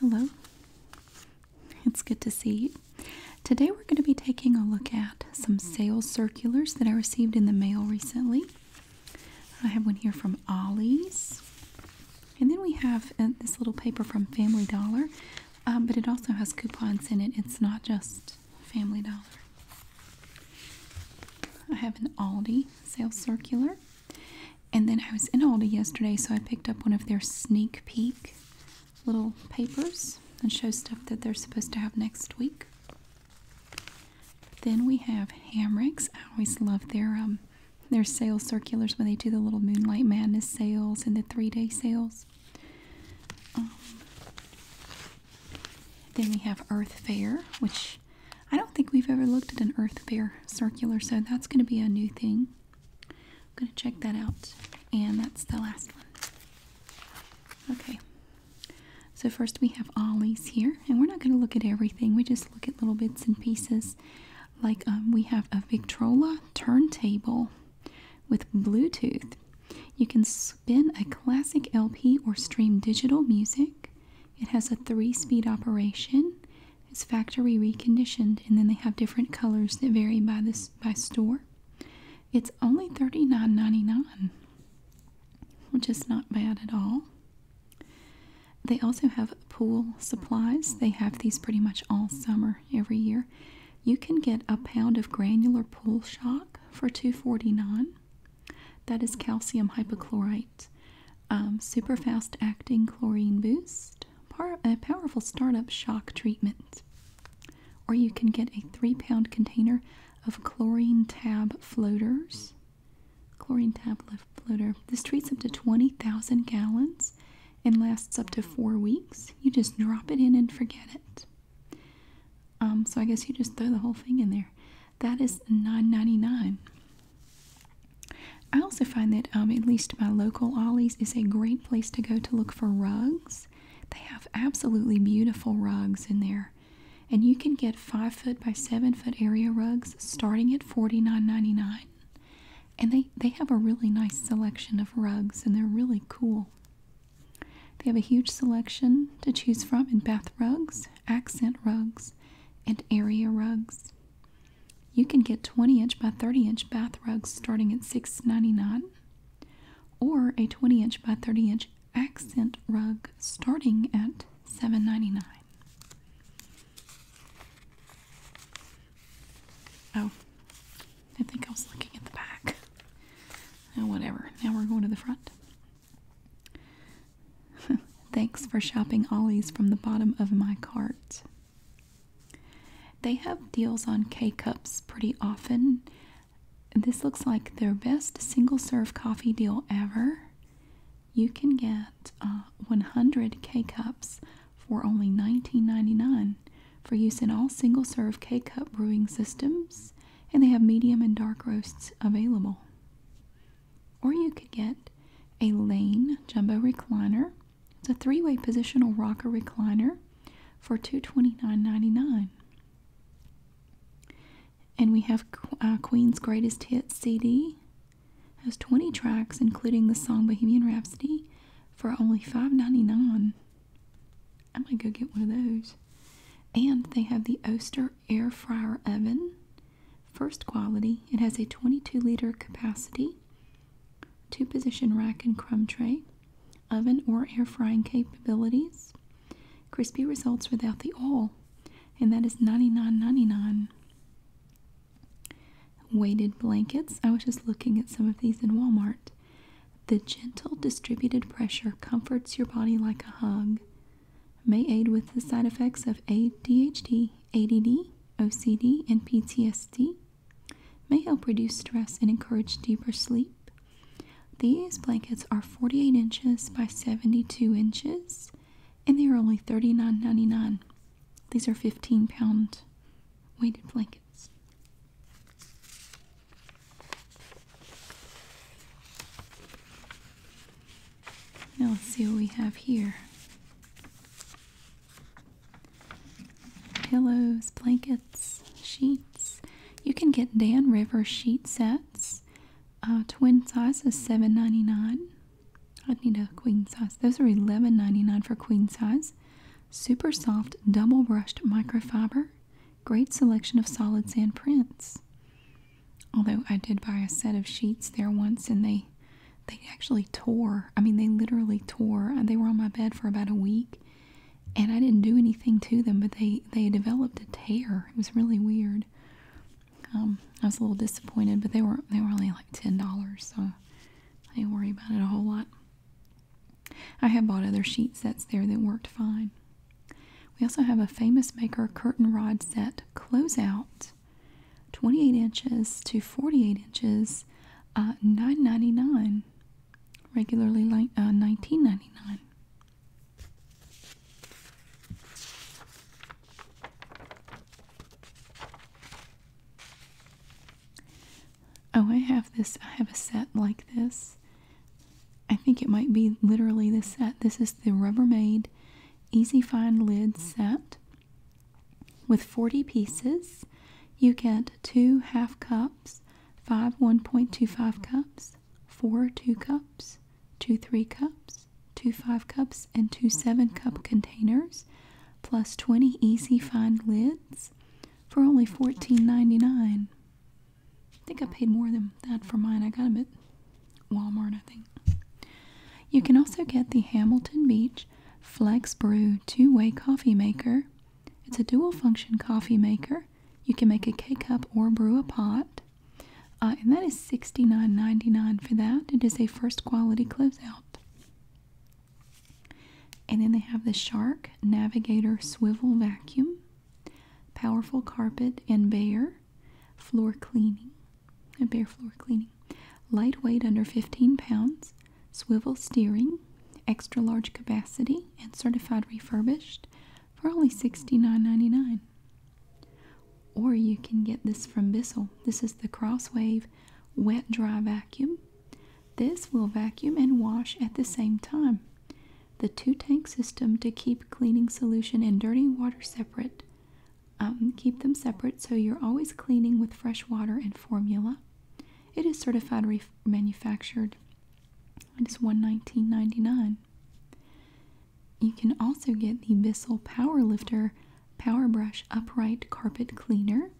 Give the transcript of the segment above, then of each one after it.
Hello, it's good to see you. Today we're going to be taking a look at some mm-hmm. sales circulars that I received in the mail recently. I have one here from Ollie's, and then we have uh, this little paper from Family Dollar, um, but it also has coupons in it. It's not just Family Dollar. I have an Aldi sales circular. And then I was in Aldi yesterday, so I picked up one of their sneak peek little papers that shows stuff that they're supposed to have next week. Then we have Hamricks. I always love their um their sales circulars when they do the little Moonlight Madness sales and the three day sales. Um, then we have Earth Fair, which I don't think we've ever looked at an Earth Bear circular, so that's going to be a new thing. I'm going to check that out. And that's the last one. Okay. So first we have Ollie's here, and we're not going to look at everything. We just look at little bits and pieces. Like um, we have a Victrola turntable with Bluetooth. You can spin a classic LP or stream digital music. It has a three speed operation. It's factory reconditioned, and then they have different colors that vary by this by store. It's only $39.99, which is not bad at all. They also have pool supplies. They have these pretty much all summer every year. You can get a pound of granular pool shock for $2.49. That is calcium hypochlorite. Um, super fast acting chlorine boost, a powerful startup shock treatment. Or you can get a three pound container of chlorine tab floaters. Chlorine tab floater. This treats up to 20,000 gallons and lasts up to four weeks. You just drop it in and forget it. Um, so I guess you just throw the whole thing in there. That is $9.99. I also find that um, at least my local Ollie's is a great place to go to look for rugs. They have absolutely beautiful rugs in there. And you can get 5 foot by 7 foot area rugs starting at $49.99. And they, they have a really nice selection of rugs and they're really cool. They have a huge selection to choose from in bath rugs, accent rugs, and area rugs. You can get 20 inch by 30 inch bath rugs starting at $6.99 or a 20 inch by 30 inch accent rug starting at $7.99. Oh, I think I was looking at the back. Oh, whatever. Now we're going to the front. Thanks for shopping Ollie's from the bottom of my cart. They have deals on K cups pretty often. This looks like their best single serve coffee deal ever. You can get uh, 100 K cups for only $19.99 for use in all single serve K cup brewing systems, and they have medium and dark roasts available. Or you could get a Lane Jumbo Recliner. It's a three-way positional rocker recliner for $229.99. And we have uh, Queen's Greatest Hits CD. has 20 tracks, including the song Bohemian Rhapsody, for only $5.99. I might go get one of those. And they have the Oster air fryer oven. First quality, it has a 22 liter capacity, two position rack and crumb tray, oven or air frying capabilities, crispy results without the oil, and thats 99.99. Weighted blankets, I was just looking at some of these in Walmart. The gentle distributed pressure comforts your body like a hug may aid with the side effects of ADHD, ADD, OCD, and PTSD, may help reduce stress and encourage deeper sleep. These blankets are 48 inches by 72 inches and they are only $39.99. These are 15 pound weighted blankets. Now let's see what we have here. Pillows, blankets, sheets. You can get Dan River sheet sets. Uh, twin size is $7.99. I'd need a queen size. Those are $11.99 for queen size. Super soft, double brushed microfiber. Great selection of solid sand prints. Although I did buy a set of sheets there once and they they actually tore. I mean, they literally tore. Uh, they were on my bed for about a week and I didn't do anything to them, but they they developed a tear. It was really weird. Um, I was a little disappointed, but they were they were only like ten dollars, so I didn't worry about it a whole lot. I have bought other sheet sets there that worked fine. We also have a famous maker curtain rod set closeout. 28 inches to 48 inches, uh, $9.99. Regularly like $19.99. Uh, oh, I have this. I have a set like this. I think it might be literally the set. This is the Rubbermaid easy find lids set with 40 pieces. You get two half cups, five 1.25 cups, four 2 cups, two 3 cups, two 5 cups, and two 7 cup containers, plus 20 easy find lids for only $14.99. I think I paid more than that for mine, I got them at Walmart, I think. You can also get the Hamilton Beach Flex Brew two way coffee maker. It's a dual function coffee maker. You can make a K cup or brew a pot. Uh, and that is $69.99 for that. It is a first quality closeout. And then they have the Shark Navigator Swivel Vacuum, Powerful Carpet and Bare, Floor Cleaning, a bare floor cleaning. Lightweight under 15 pounds, swivel steering, extra large capacity, and certified refurbished for only sixty nine ninety nine. Or you can get this from Bissell. This is the Crosswave Wet Dry Vacuum. This will vacuum and wash at the same time. The two tank system to keep cleaning solution and dirty water separate um, keep them separate so you're always cleaning with fresh water and formula. It is certified re manufactured. It is $119.99. You can also get the Bissell Power Lifter Power Brush Upright Carpet Cleaner.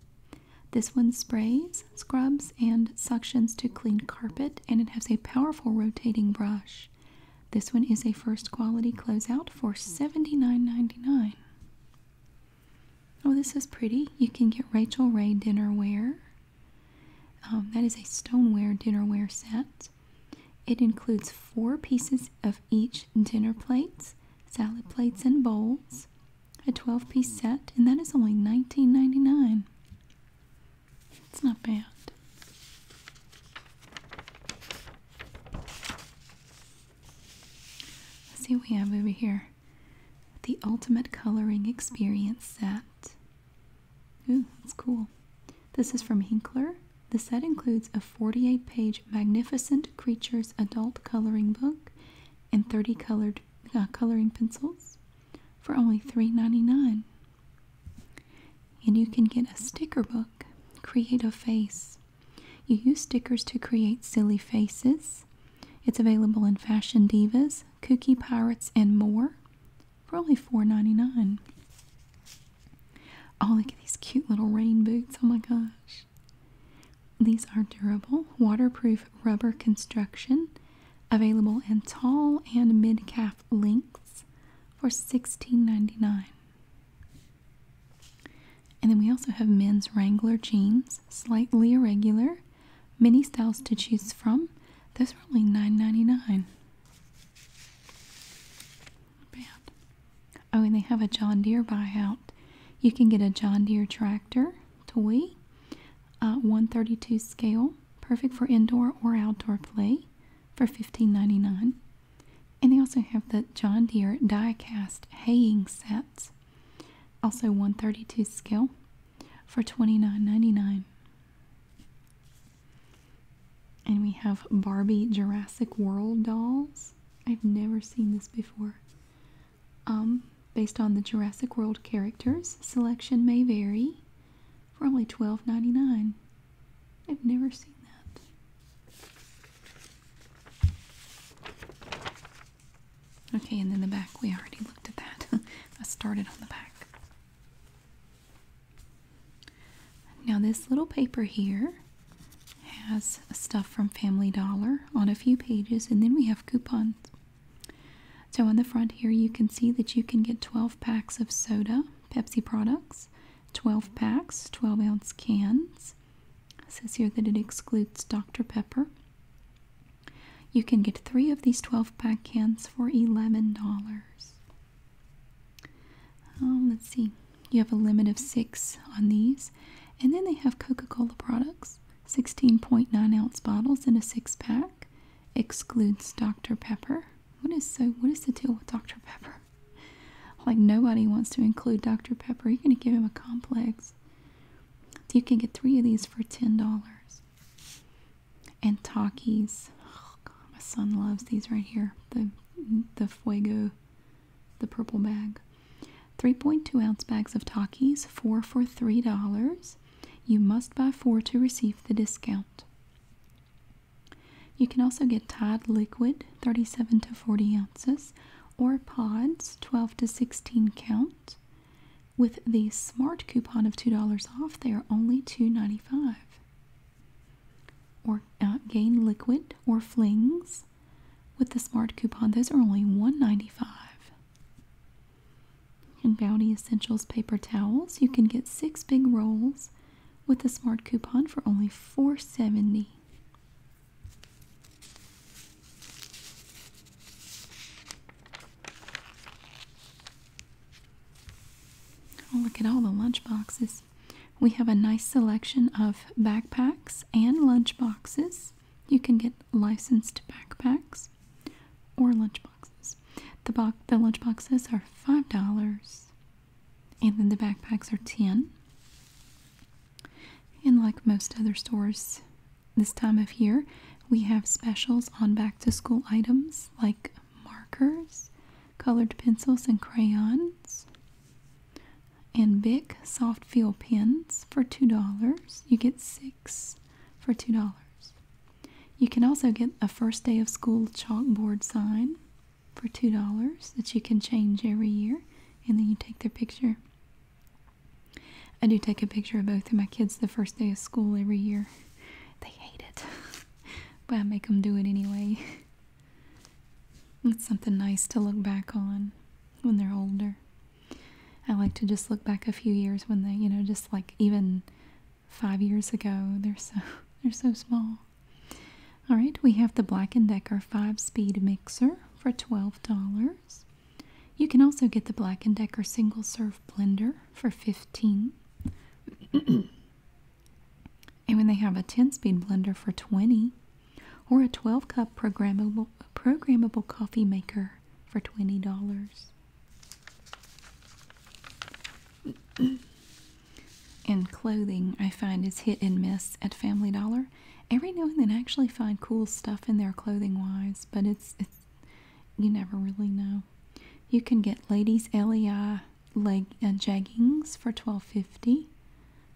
This one sprays, scrubs, and suctions to clean carpet, and it has a powerful rotating brush. This one is a first quality closeout for $79.99. Oh, this is pretty. You can get Rachel Ray dinnerware. Um, that is a stoneware dinnerware set. It includes four pieces of each dinner plates, salad plates, and bowls. A 12 piece set, and that is only $19.99. It's not bad see what we have over here. The Ultimate Coloring Experience Set. Ooh, that's cool. This is from Hinkler. The set includes a 48 page Magnificent Creatures adult coloring book and 30 colored uh, coloring pencils for only $3.99 and you can get a sticker book. Create a face. You use stickers to create silly faces. It's available in Fashion Divas, Kooky Pirates, and more for only $4.99. Oh, look at these cute little rain boots. Oh my gosh. These are durable, waterproof rubber construction, available in tall and mid calf lengths for $16.99. And then we also have men's Wrangler jeans, slightly irregular, many styles to choose from. Those were only $9.99. Oh, and they have a John Deere buyout. You can get a John Deere tractor toy, uh, 132 scale, perfect for indoor or outdoor play, for $15.99. And they also have the John Deere die-cast haying sets, also 132 scale for $29.99. And we have Barbie Jurassic World dolls. I've never seen this before. Um, based on the Jurassic World characters, selection may vary for only $12.99. I've never seen that. Okay, and then the back, we already looked at that. I started on the back. Now, this little paper here has stuff from Family Dollar on a few pages, and then we have coupons. So, on the front here, you can see that you can get 12 packs of soda, Pepsi products, 12 packs, 12 ounce cans. says here that it excludes Dr. Pepper. You can get three of these 12 pack cans for $11. Um, let's see, you have a limit of six on these. And then they have Coca Cola products 16.9 ounce bottles in a six pack, excludes Dr. Pepper. What is so? What is the deal with Dr. Pepper? Like nobody wants to include Dr. Pepper. You're gonna give him a complex. You can get three of these for ten dollars. And Takis. Oh, god, my son loves these right here. The the Fuego, the purple bag. 3.2 ounce bags of Takis, four for three dollars. You must buy four to receive the discount. You can also get Tide Liquid, 37 to 40 ounces, or pods, 12 to 16 count. With the smart coupon of $2 off, they are only $2.95. Or uh, Gain Liquid or Flings. With the smart coupon, those are only $1.95. And Bounty Essentials paper towels, you can get six big rolls with a smart coupon for only four seventy. dollars Oh, look at all the lunch boxes. We have a nice selection of backpacks and lunch boxes. You can get licensed backpacks or lunch boxes. The, bo the lunch boxes are $5. And then the backpacks are 10. And like most other stores this time of year, we have specials on back to school items like markers, colored pencils and crayons, and big soft feel pens for $2. You get six for $2. You can also get a first day of school chalkboard sign for $2 that you can change every year, and then you take their picture. I do take a picture of both of my kids the first day of school every year. They hate it, but I make them do it anyway. It's something nice to look back on when they're older. I like to just look back a few years when they, you know, just like even five years ago, they're so they're so small. All right, we have the Black & Decker 5-speed mixer for $12. You can also get the Black & Decker single serve blender for 15. and when they have a 10-speed blender for 20 or a 12-cup programmable programmable coffee maker for $20. And clothing I find is hit and miss at Family Dollar. Every now and then I actually find cool stuff in their clothing wise, but it's you never really know. You can get ladies LEI leg uh, jeggings for twelve fifty,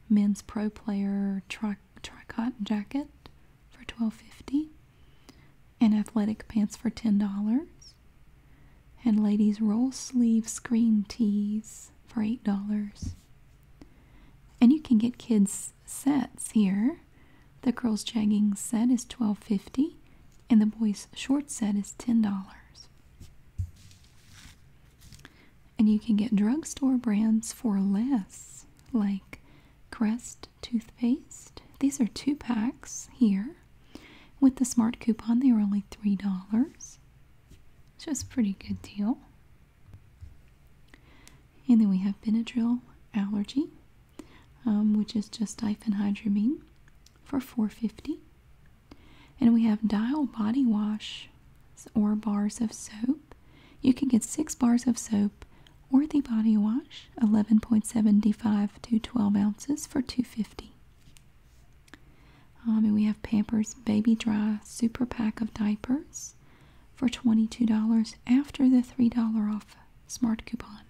men's pro player tri cotton jacket for twelve fifty, and athletic pants for ten dollars and ladies roll sleeve screen tees for $8. And you can get kids sets here. The girls jegging set is $12.50 and the boys short set is $10. And you can get drugstore brands for less, like Crest toothpaste. These are two packs here with the smart coupon, they were only $3, which was a pretty good deal. And then we have Benadryl Allergy, um, which is just diphenhydramine for $4.50. And we have Dial Body Wash or bars of soap. You can get six bars of soap or the body wash, 11.75 to 12 ounces for 250 um, and we have Pampers Baby Dry Super Pack of Diapers for $22 after the $3 off smart coupon.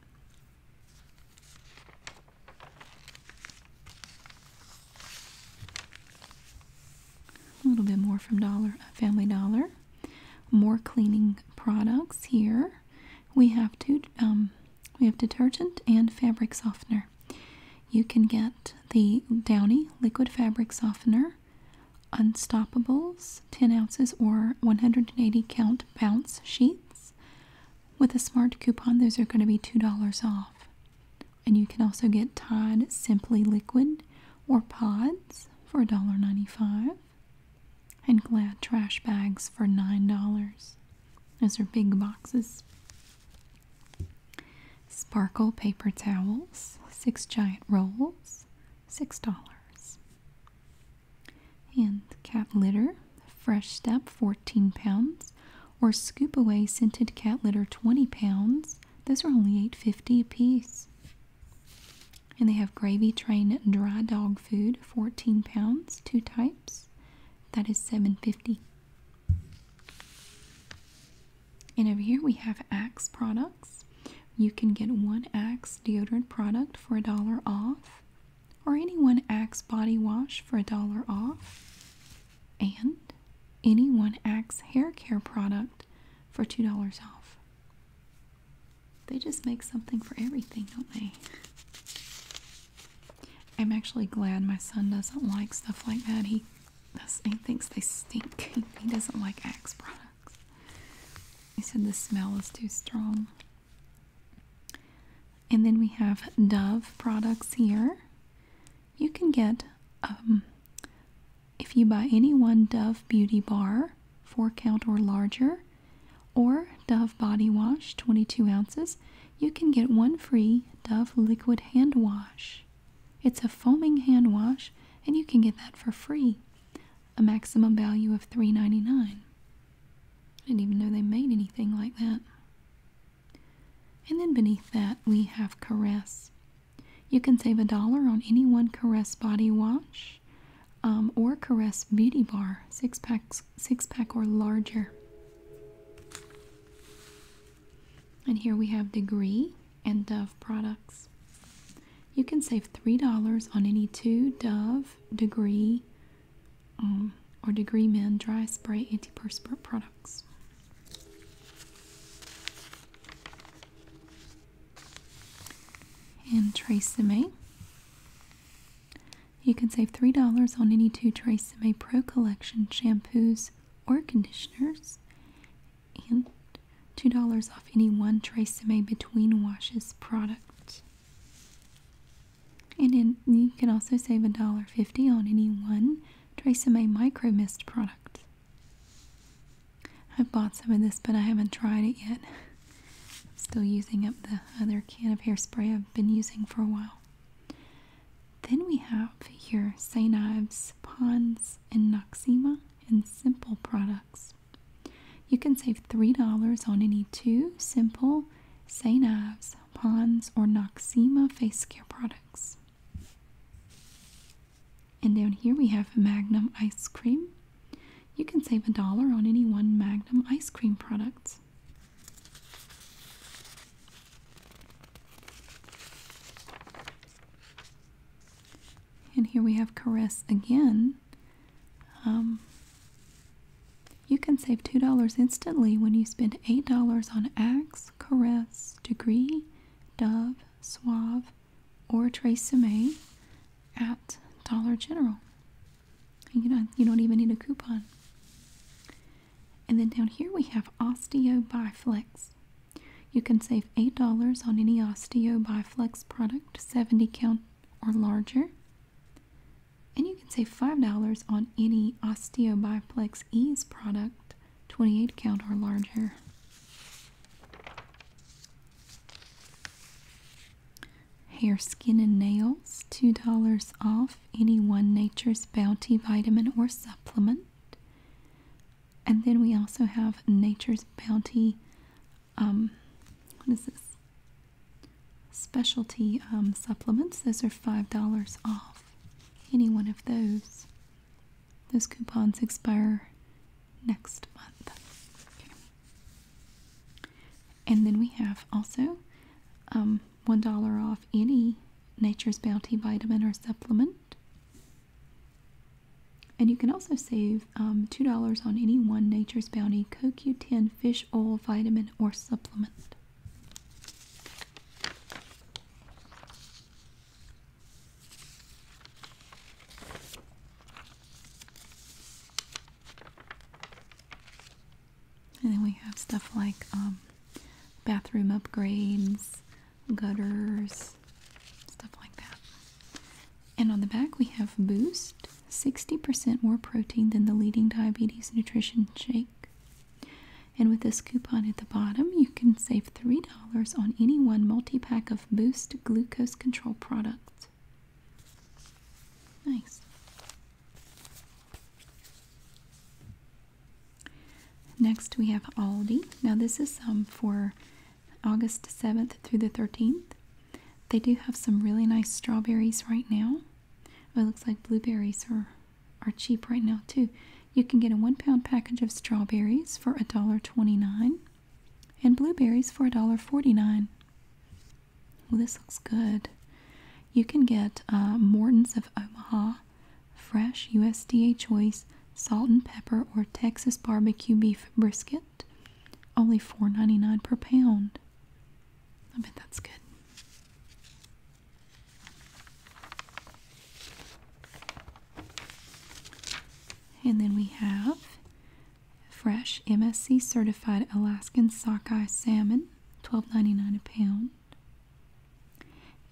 A little bit more from Dollar uh, Family Dollar. More cleaning products here. We have two. Um, we have detergent and fabric softener. You can get the Downy Liquid Fabric Softener, Unstoppables 10 ounces or 180 count bounce sheets. With a smart coupon, those are going to be $2 off. And you can also get Tide Simply Liquid or Pods for $1.95 and Glad Trash Bags for $9. Those are big boxes. Sparkle paper towels, six giant rolls, six dollars. And cat litter, fresh step, 14 pounds, or scoop away scented cat litter, 20 pounds. Those are only eight fifty dollars a piece. And they have gravy train dry dog food, 14 pounds, two types. thats seven fifty. And over here we have Axe products. You can get one Axe deodorant product for a dollar off, or any one Axe body wash for a dollar off, and any one Axe hair care product for $2 off. They just make something for everything, don't they? I'm actually glad my son doesn't like stuff like that. He he thinks they stink. He, doesn't like Axe products. He said the smell is too strong. And then we have Dove products here. You can get um, if you buy any one Dove Beauty Bar, 4 count or larger, or Dove Body Wash, 22 ounces, you can get one free Dove liquid hand wash. It's a foaming hand wash and you can get that for free. A maximum value of three ninety-nine. dollars I didn't even know they made anything like that. And then beneath that we have Caress. You can save a dollar on any one Caress body wash um, or Caress beauty bar. Six packs six, pack or larger. And here we have degree and Dove products. You can save $3 on any two Dove degree um, or degree men dry spray antiperspirant products. And Tresemme. You can save $3 on any two Trace Pro Collection shampoos or conditioners, and $2 off any one Trace Between Washes product. And then you can also save $1.50 on any one Trace May Micro Mist product. I've bought some of this, but I haven't tried it yet. I'm still using up the other can of hairspray I've been using for a while. Then we have here St. Ives, Pons, and Noxema, and Simple products. You can save $3 on any two Simple, St. Ives, Pons, or Noxema face care products. And down here we have Magnum ice cream. You can save a dollar on any one Magnum ice cream product. And here we have Caress again. Um, you can save $2 instantly when you spend $8 on Axe, Caress, Degree, Dove, Suave, or Trace at Dollar General. You know, you don't even need a coupon. And then down here we have Osteo Biflex. You can save $8 on any Osteo Biflex product, 70 count or larger. And you can save $5 on any Osteo Biflex Ease product, 28 count or larger. Hair, skin, and nails, $2 off any one Nature's Bounty vitamin or supplement. And then we also have Nature's Bounty, um, what is this? Specialty um, supplements. Those are $5 off any one of those. Those coupons expire next month. And then we have also um, $1 off any Nature's Bounty vitamin or supplement. And you can also save um, $2 on any one Nature's Bounty CoQ10 fish oil vitamin or supplement. And then we have stuff like um, bathroom upgrades, gutters, stuff like that. And on the back we have Boost, 60% more protein than the leading diabetes nutrition shake. And with this coupon at the bottom, you can save $3 on any one multi pack of Boost glucose control products. Nice. Next, we have Aldi. Now, this is um, for August 7th through the 13th. They do have some really nice strawberries right now. it looks like blueberries are, are cheap right now, too. You can get a one pound package of strawberries for $1.29 and blueberries for $1.49. Well, oh, this looks good. You can get uh, Morton's of Omaha, fresh USDA choice, salt and pepper, or Texas barbecue beef brisket. Only $4.99 per pound. I bet that's good. And then we have fresh MSC certified Alaskan sockeye salmon. Twelve ninety nine a pound.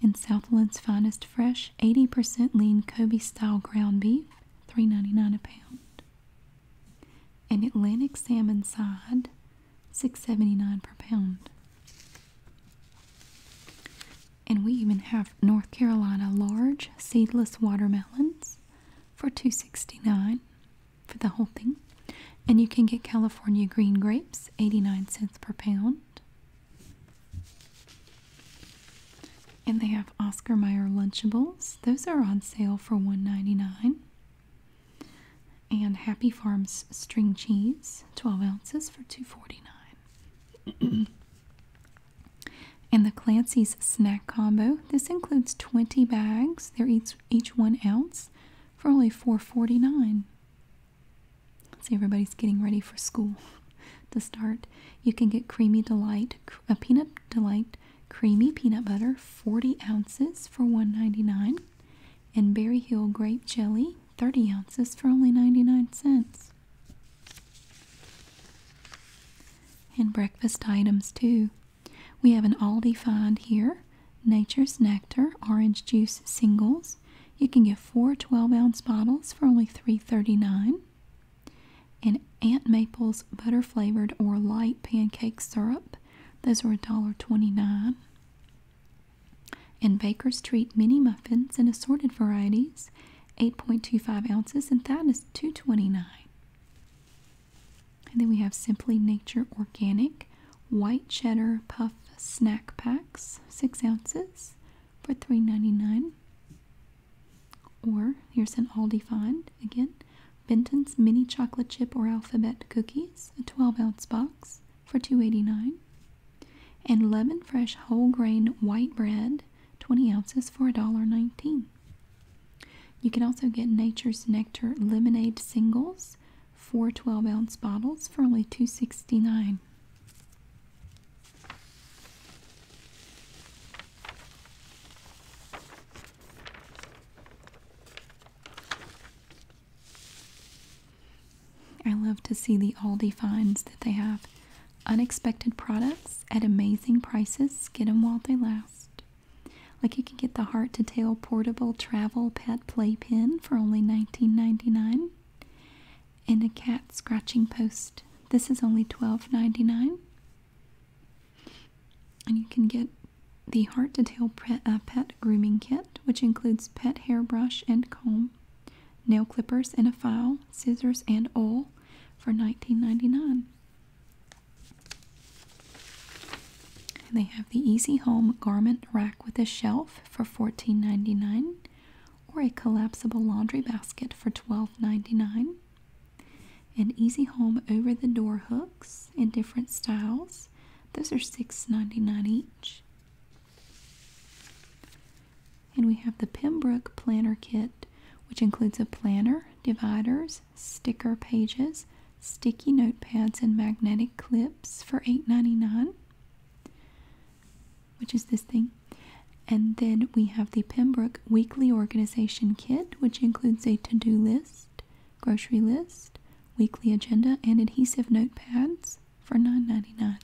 And Southland's finest fresh, 80% lean Kobe style ground beef, three ninety nine a pound. And Atlantic salmon side, six seventy nine per pound. And we even have North Carolina large seedless watermelons for two sixty nine for the whole thing. And you can get California green grapes, 89 cents per pound. And they have Oscar Mayer Lunchables. Those are on sale for one ninety-nine. And Happy Farms string cheese, 12 ounces for two forty-nine. and the Clancy's snack combo. This includes 20 bags. They're each, each one ounce for only $4.49. See, everybody's getting ready for school. to start, you can get creamy delight, a uh, peanut delight, creamy peanut butter, 40 ounces for $1.99, and Berry Hill grape jelly, 30 ounces for only 99 cents. And breakfast items too. We have an Aldi find here Nature's Nectar Orange Juice Singles. You can get four 12 ounce bottles for only three thirty-nine. dollars And Aunt Maple's butter flavored or light pancake syrup. Those are a dollar twenty-nine. And Baker's Treat mini muffins in assorted varieties, 8.25 ounces, and thats two twenty-nine. And then we have Simply Nature Organic White Cheddar Puff Snack Packs, 6 ounces for $3.99. Or here's an Aldi find again Benton's Mini Chocolate Chip or Alphabet Cookies, a 12 ounce box for $2.89. And Leaven Fresh Whole Grain White Bread, 20 ounces for $1.19. You can also get Nature's Nectar Lemonade Singles four 12 ounce bottles for only $2.69. I love to see the Aldi finds that they have. Unexpected products at amazing prices. Get them while they last. Like you can get the heart to tail portable travel pet playpen for only $19.99 and a cat scratching post. This is only $12.99. And you can get the heart to tail uh, pet, grooming kit, which includes pet hairbrush and comb, nail clippers and a file, scissors and oil for $19.99 they have the Easy Home garment rack with a shelf for $14.99 or a collapsible laundry basket for $12.99. And Easy Home over the door hooks in different styles. Those are $6.99 each. And we have the Pembroke Planner Kit, which includes a planner, dividers, sticker pages, sticky notepads, and magnetic clips for $8.99, which is this thing. And then we have the Pembroke Weekly Organization Kit, which includes a to do list, grocery list, weekly agenda, and adhesive notepads for $9.99.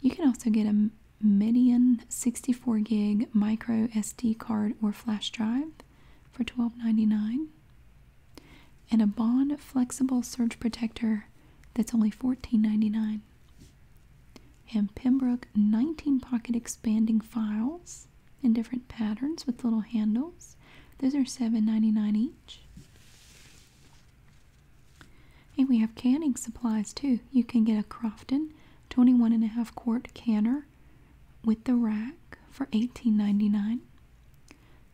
You can also get a Median 64 gig micro SD card or flash drive for $12.99 and a Bond Flexible Surge Protector that's only $14.99. And Pembroke 19 pocket expanding files in different patterns with little handles. Those are $7.99 each. And we have canning supplies too. You can get a Crofton twenty one and a half quart canner with the rack for $18.99.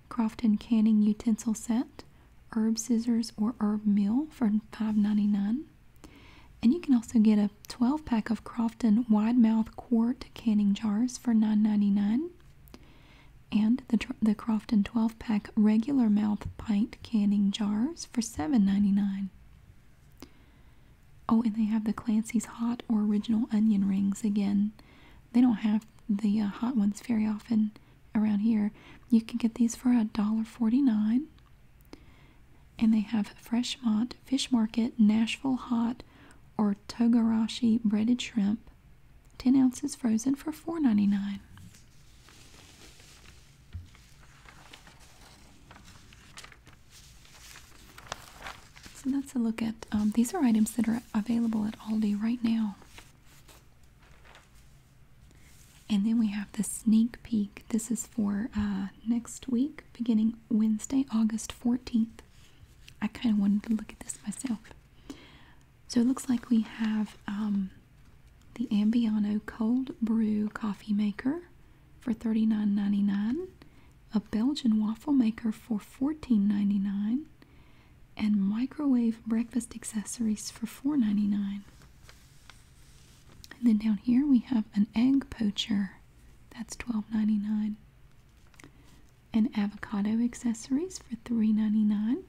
Crofton canning utensil set, herb scissors or herb mill for $5.99. And you can also get a 12 pack of Crofton wide mouth quart canning jars for $9.99. And the, the Crofton 12 pack regular mouth pint canning jars for $7.99. Oh, and they have the Clancy's hot or original onion rings again. They don't have the uh, hot ones very often around here. You can get these for a dollar forty-nine. And they have Fresh Freshmont Fish Market Nashville Hot or Togarashi breaded shrimp. 10 ounces frozen for four ninety-nine. So that's a look at, um, these are items that are available at Aldi right now. And then we have the sneak peek. This is for uh, next week, beginning Wednesday, August 14th. I kind of wanted to look at this myself. So it looks like we have um, the Ambiano Cold Brew Coffee Maker for $39.99 a Belgian waffle maker for $14.99, and microwave breakfast accessories for $4.99. And then down here we have an egg poacher. That's $12.99. And avocado accessories for $3.99.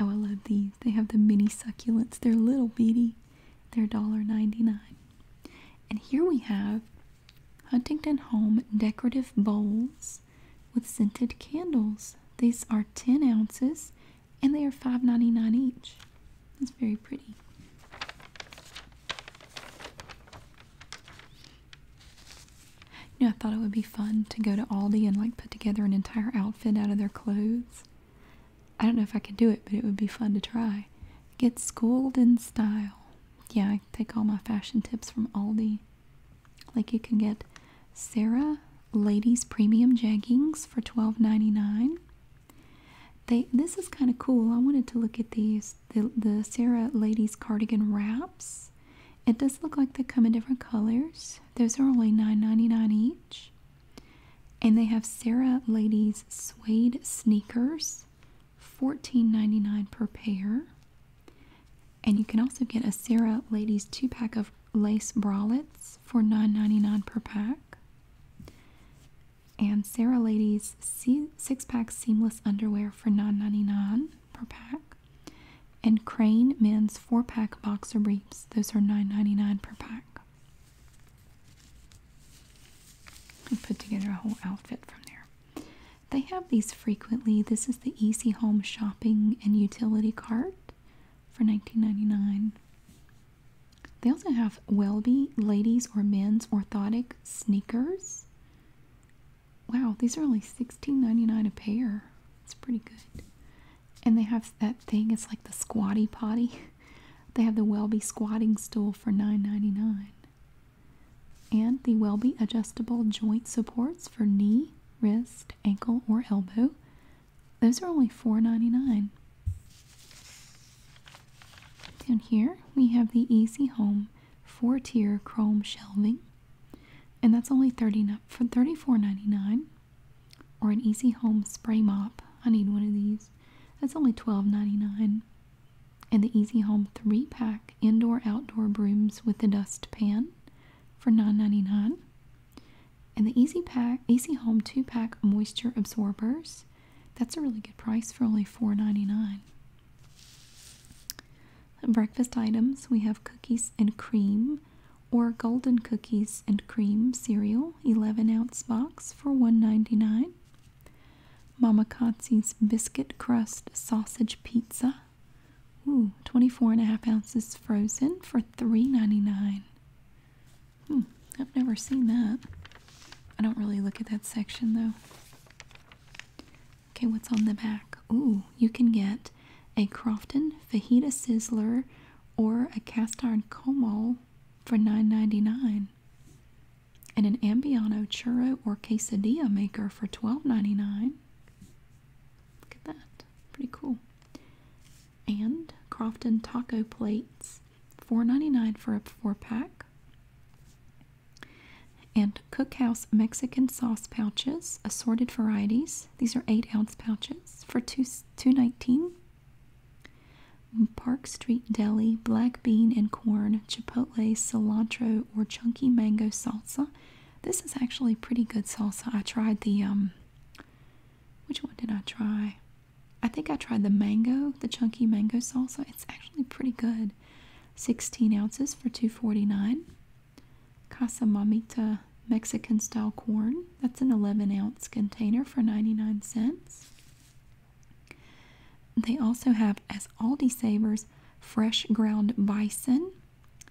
Oh, I love these. They have the mini succulents. They're little beady. They're $1.99. And here we have Huntington Home decorative bowls with scented candles. These are 10 ounces and they are five ninety nine each. It's very pretty. You know, I thought it would be fun to go to Aldi and like put together an entire outfit out of their clothes. I don't know if I could do it, but it would be fun to try. Get schooled in style yeah, I take all my fashion tips from Aldi. Like you can get Sarah Ladies Premium Jeggings for $12.99. They this is kind of cool. I wanted to look at these the the Sarah Ladies Cardigan Wraps. It does look like they come in different colors. Those are only $9.99 each. And they have Sarah Ladies Suede Sneakers Fourteen ninety nine per pair. And you can also get a Sarah Ladies 2 pack of lace bralettes for nine ninety nine per pack. And Sarah Ladies 6 pack seamless underwear for nine ninety nine per pack. And Crane men's 4 pack boxer briefs, those are nine ninety nine per pack. I put together a whole outfit from there. They have these frequently. This is the Easy Home Shopping and Utility Cart for nineteen ninety nine. They also have Welby ladies or men's orthotic sneakers. Wow, these are only sixteen ninety nine a pair. That's pretty good. And they have that thing, it's like the squatty potty. They have the Welby squatting stool for nine ninety nine and the Welby adjustable joint supports for knee, wrist, ankle, or elbow. Those are only $4.99. Down here we have the Easy Home four-tier chrome shelving, and that's only 30 for $34.99. Or an Easy Home spray mop. I need one of these. That's only $12.99 and the Easy Home 3 pack indoor outdoor brooms with a dustpan for $9.99. And the Easy Pack Easy Home 2 pack moisture absorbers. That's a really good price for only $4.99. Breakfast items we have cookies and cream or golden cookies and cream cereal 11 ounce box for $1.99 Mama Kotze's biscuit crust sausage pizza. Ooh, 24 and a half ounces frozen for $3.99. Hmm, I've never seen that. I don't really look at that section though. Okay, what's on the back? Ooh, you can get a Crofton fajita sizzler or a cast iron como for $9.99 and an Ambiano churro or quesadilla maker for $12.99. Look at that. Pretty cool. And Crofton taco plates, $4.99 for a four pack. And Cookhouse Mexican sauce pouches, assorted varieties. These are 8 ounce pouches for two, $2.19. Park Street Deli, black bean and corn chipotle, cilantro, or chunky mango salsa. This is actually pretty good salsa. I tried the, um, which one did I try? I think I tried the mango, the chunky mango salsa. It's actually pretty good. 16 ounces for 2.49. Casa Mamita Mexican style corn. That's an 11 ounce container for 99 cents. They also have, as Aldi Savers, fresh ground bison.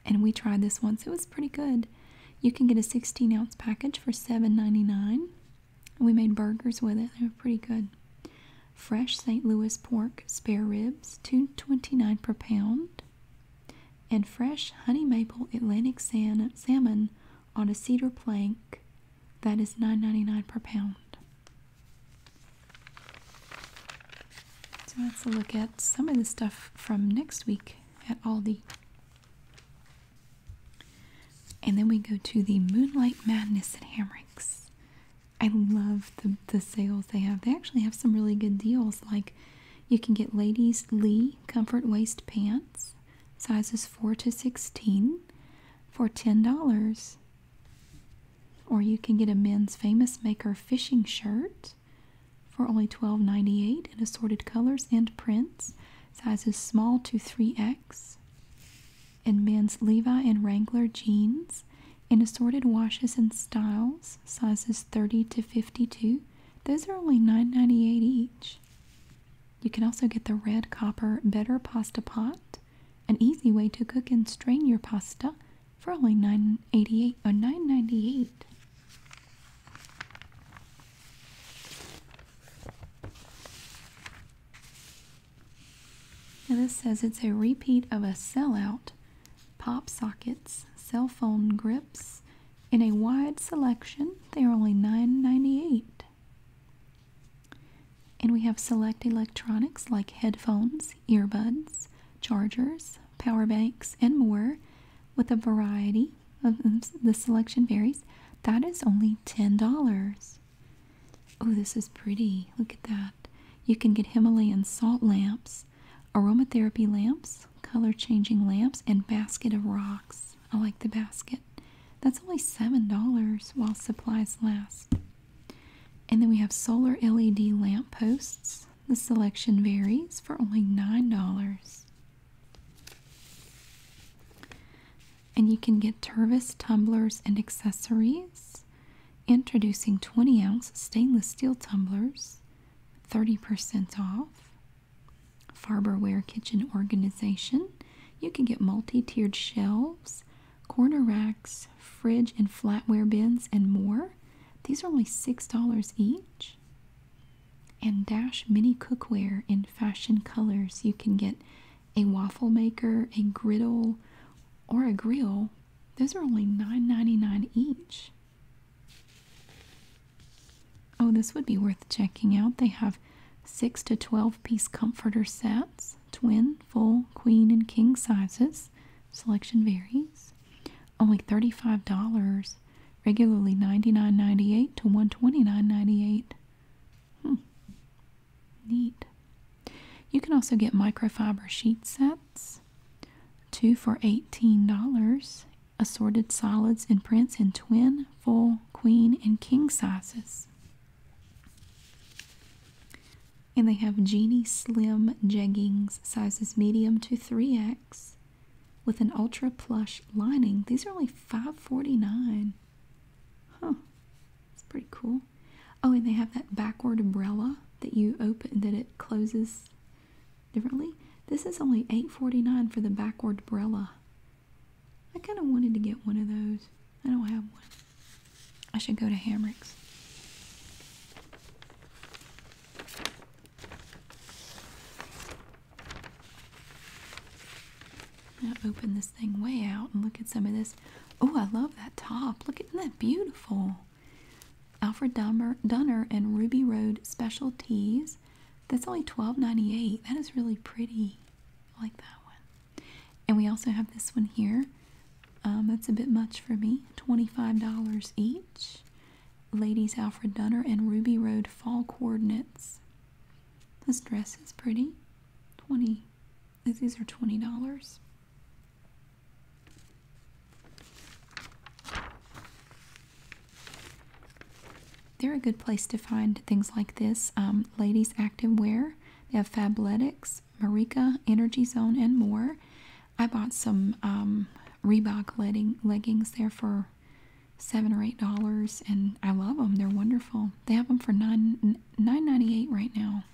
And we tried this once. It was pretty good. You can get a 16 ounce package for seven ninety nine. We made burgers with it. They were pretty good. Fresh St. Louis pork spare ribs, two twenty nine per pound. And fresh honey maple Atlantic salmon on a cedar plank that is $9.99 per pound. So let's look at some of the stuff from next week at Aldi. And then we go to the Moonlight Madness at Hamricks. I love the, the sales they have. They actually have some really good deals. Like you can get ladies Lee comfort waist pants, sizes 4 to 16, for $10. Or you can get a men's famous maker fishing shirt for only twelve ninety eight in assorted colors and prints, sizes small to 3X. And men's Levi and Wrangler jeans in assorted washes and styles, sizes 30 to 52. Those are only nine ninety eight each. You can also get the red copper Better Pasta Pot an easy way to cook and strain your pasta for only $9.88 or $9.98. this says it's a repeat of a sellout, pop sockets, cell phone grips, in a wide selection. They are only $9.98. And we have select electronics like headphones, earbuds, chargers, power banks, and more with a variety of the selection varies. That is only $10. Oh, this is pretty. Look at that. You can get Himalayan salt lamps, aromatherapy lamps, color changing lamps, and basket of rocks. I like the basket. That's only $7 while supplies last. And then we have solar LED lamp posts. The selection varies for only $9. And you can get Tervis tumblers and accessories. Introducing 20 ounce stainless steel tumblers, 30% off. Farberware Kitchen Organization. You can get multi tiered shelves, corner racks, fridge and flatware bins, and more. These are only $6 each. And Dash Mini Cookware in fashion colors. You can get a waffle maker, a griddle, or a grill. Those are only nine ninety nine each. Oh, this would be worth checking out. They have 6 to 12 piece comforter sets twin, full, queen, and king sizes. Selection varies. Only $35, regularly $99.98 to $129.98. Hmm. Neat. You can also get microfiber sheet sets, two for $18, assorted solids and prints in twin, full, queen, and king sizes. And they have Genie Slim Jeggings, sizes medium to 3X, with an ultra plush lining. These are only $5.49. Huh. It's pretty cool. Oh, and they have that backward umbrella that you open that it closes differently. This is only $8.49 for the backward umbrella. I kind of wanted to get one of those. I don't have one. I should go to Hamrick's. Now open this thing way out and look at some of this. Oh, I love that top. Look at that beautiful. Alfred Dunmer, Dunner and Ruby Road Specialties. That's only $12.98. That is really pretty. I like that one. And we also have this one here. Um, that's a bit much for me. $25 each. Ladies Alfred Dunner and Ruby Road Fall Coordinates. This dress is pretty. 20 These are $20. They're a good place to find things like this. Um, ladies active wear. They have Fabletics, Marika, Energy Zone, and more. I bought some um, Reebok legging, leggings there for seven or eight dollars, and I love them. They're wonderful. They have them for nine nine ninety eight right now.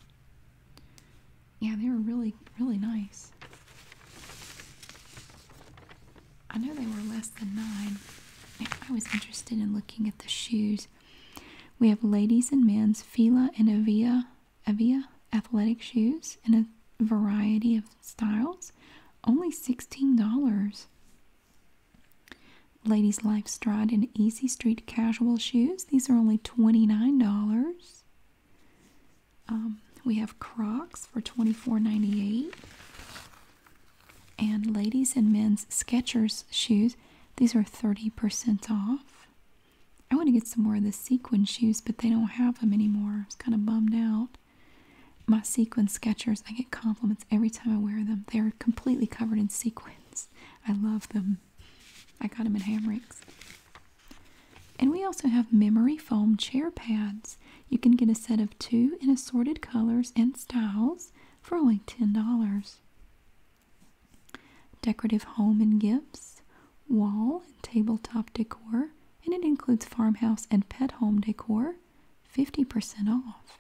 Yeah, they were really really nice. I know they were less than nine. I was interested in looking at the shoes. We have ladies and men's Fila and evia, evia athletic shoes in a variety of styles. Only $16. Ladies Life Stride and Easy Street casual shoes. These are only $29. Um, we have Crocs for $24.98. And ladies and men's sketchers shoes. These are 30% off. I want to get some more of the sequin shoes, but they don't have them anymore. I was kind of bummed out. My sequin Skechers, I get compliments every time I wear them. They are completely covered in sequins. I love them. I got them in Hamricks. And we also have memory foam chair pads. You can get a set of two in assorted colors and styles for only $10. Decorative home and gifts, wall and tabletop decor, and it includes farmhouse and pet home decor, 50% off.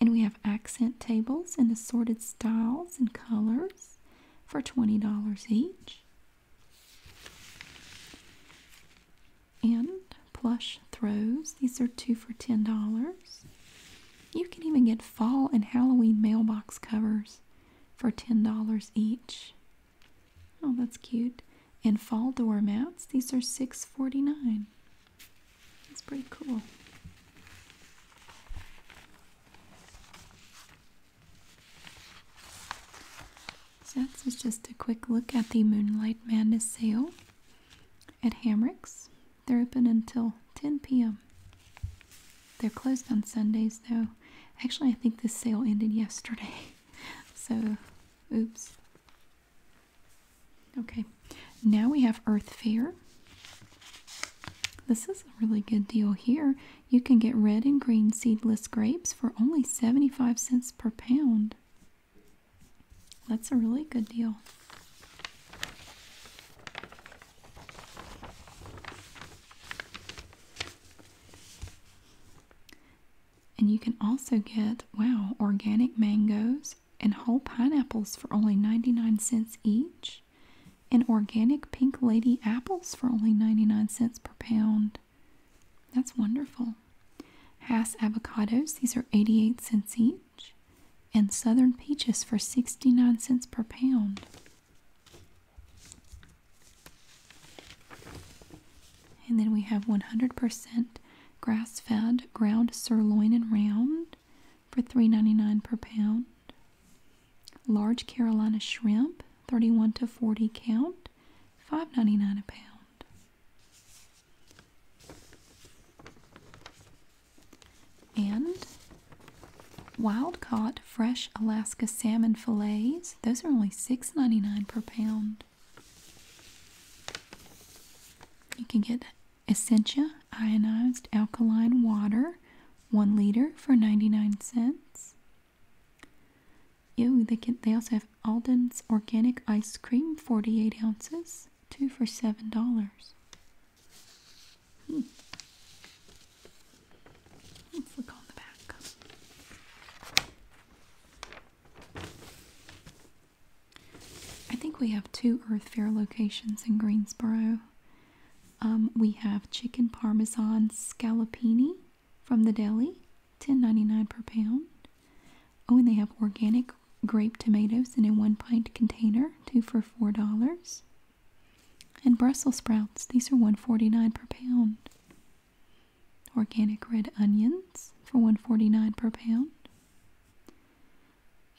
And we have accent tables in assorted styles and colors for $20 each. And plush throws, these are two for $10. You can even get fall and Halloween mailbox covers for $10 each. Oh, that's cute. And fall door mats; These are $6.49. That's pretty cool. So that's just a quick look at the Moonlight Madness sale at Hamricks. They're open until 10 p.m. They're closed on Sundays though. Actually, I think this sale ended yesterday. So, oops. Okay, now we have Earth Fair. This is a really good deal here. You can get red and green seedless grapes for only 75 cents per pound. That's a really good deal. And you can also get, wow, organic mangoes and whole pineapples for only 99 cents each, and organic pink lady apples for only 99 cents per pound. That's wonderful. Hass avocados, these are 88 cents each and southern peaches for 69 cents per pound. And then we have 100% grass fed ground sirloin and round for three ninety-nine per pound. Large Carolina shrimp, 31 to 40 count, five ninety-nine a pound. And wild caught fresh Alaska salmon fillets. Those are only $6.99 per pound. You can get Essentia ionized alkaline water, 1 liter for 99 cents. Ew, they also have Alden's organic ice cream, 48 ounces, 2 for $7. Let's hmm. hmm, look on the back. I think we have two Earth Fair locations in Greensboro. Um, we have chicken parmesan scallopini from the deli, 10 per pound. Oh, and they have organic grape tomatoes in a one pint container, two for four dollars. And Brussels sprouts, these are one forty nine per pound. Organic red onions for one forty nine per pound.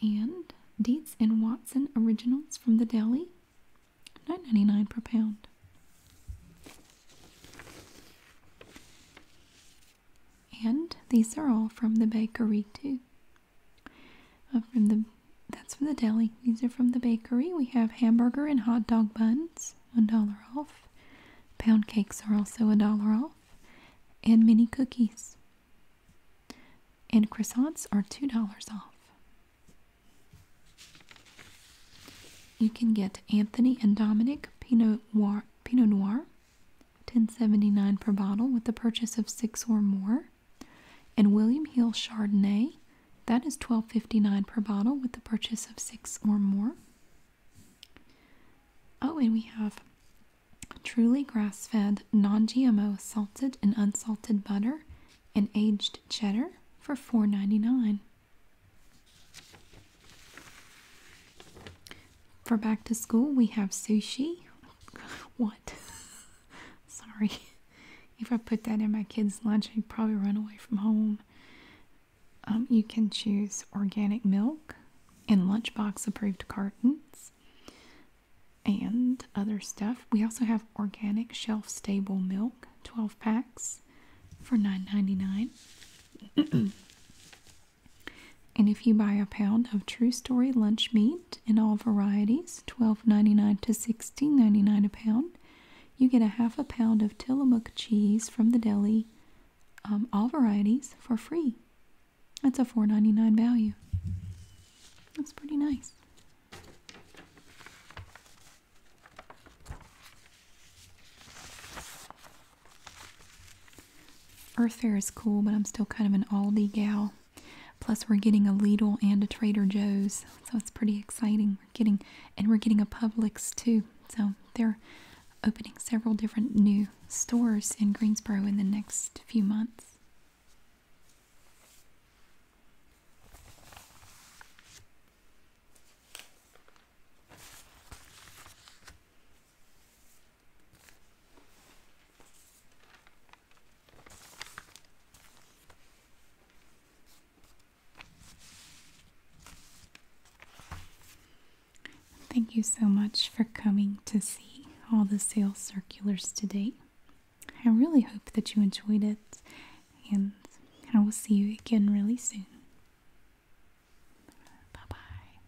And Dietz and Watson originals from the deli, nine ninety nine per pound. And these are all from the bakery too from the that's from the deli. These are from the bakery. We have hamburger and hot dog buns, one dollar off. Pound cakes are also a dollar off, and mini cookies. And croissants are two dollars off. You can get Anthony and Dominic Pinot Noir 1079 per bottle with the purchase of six or more. And William Hill Chardonnay, that is 1259 per bottle with the purchase of six or more. Oh, and we have truly grass-fed, non-GMO salted and unsalted butter and aged cheddar for four ninety-nine. For back to school, we have sushi. What? Sorry. If I put that in my kids' lunch, they'd probably run away from home. Um, you can choose organic milk in lunchbox approved cartons and other stuff. We also have organic shelf stable milk, 12 packs for nine ninety-nine. And if you buy a pound of True Story lunch meat in all varieties, twelve ninety nine to sixteen ninety nine a pound, you get a half a pound of Tillamook cheese from the deli, um, all varieties, for free. That's a four ninety nine value. That's pretty nice. Earth Fare is cool, but I'm still kind of an Aldi gal. Plus, we're getting a Lidl and a Trader Joe's, so it's pretty exciting. We're getting and we're getting a Publix too. So they're opening several different new stores in Greensboro in the next few months. Thank you so much for coming to see all the sales circulars today. I really hope that you enjoyed it, and I will see you again really soon. Bye bye.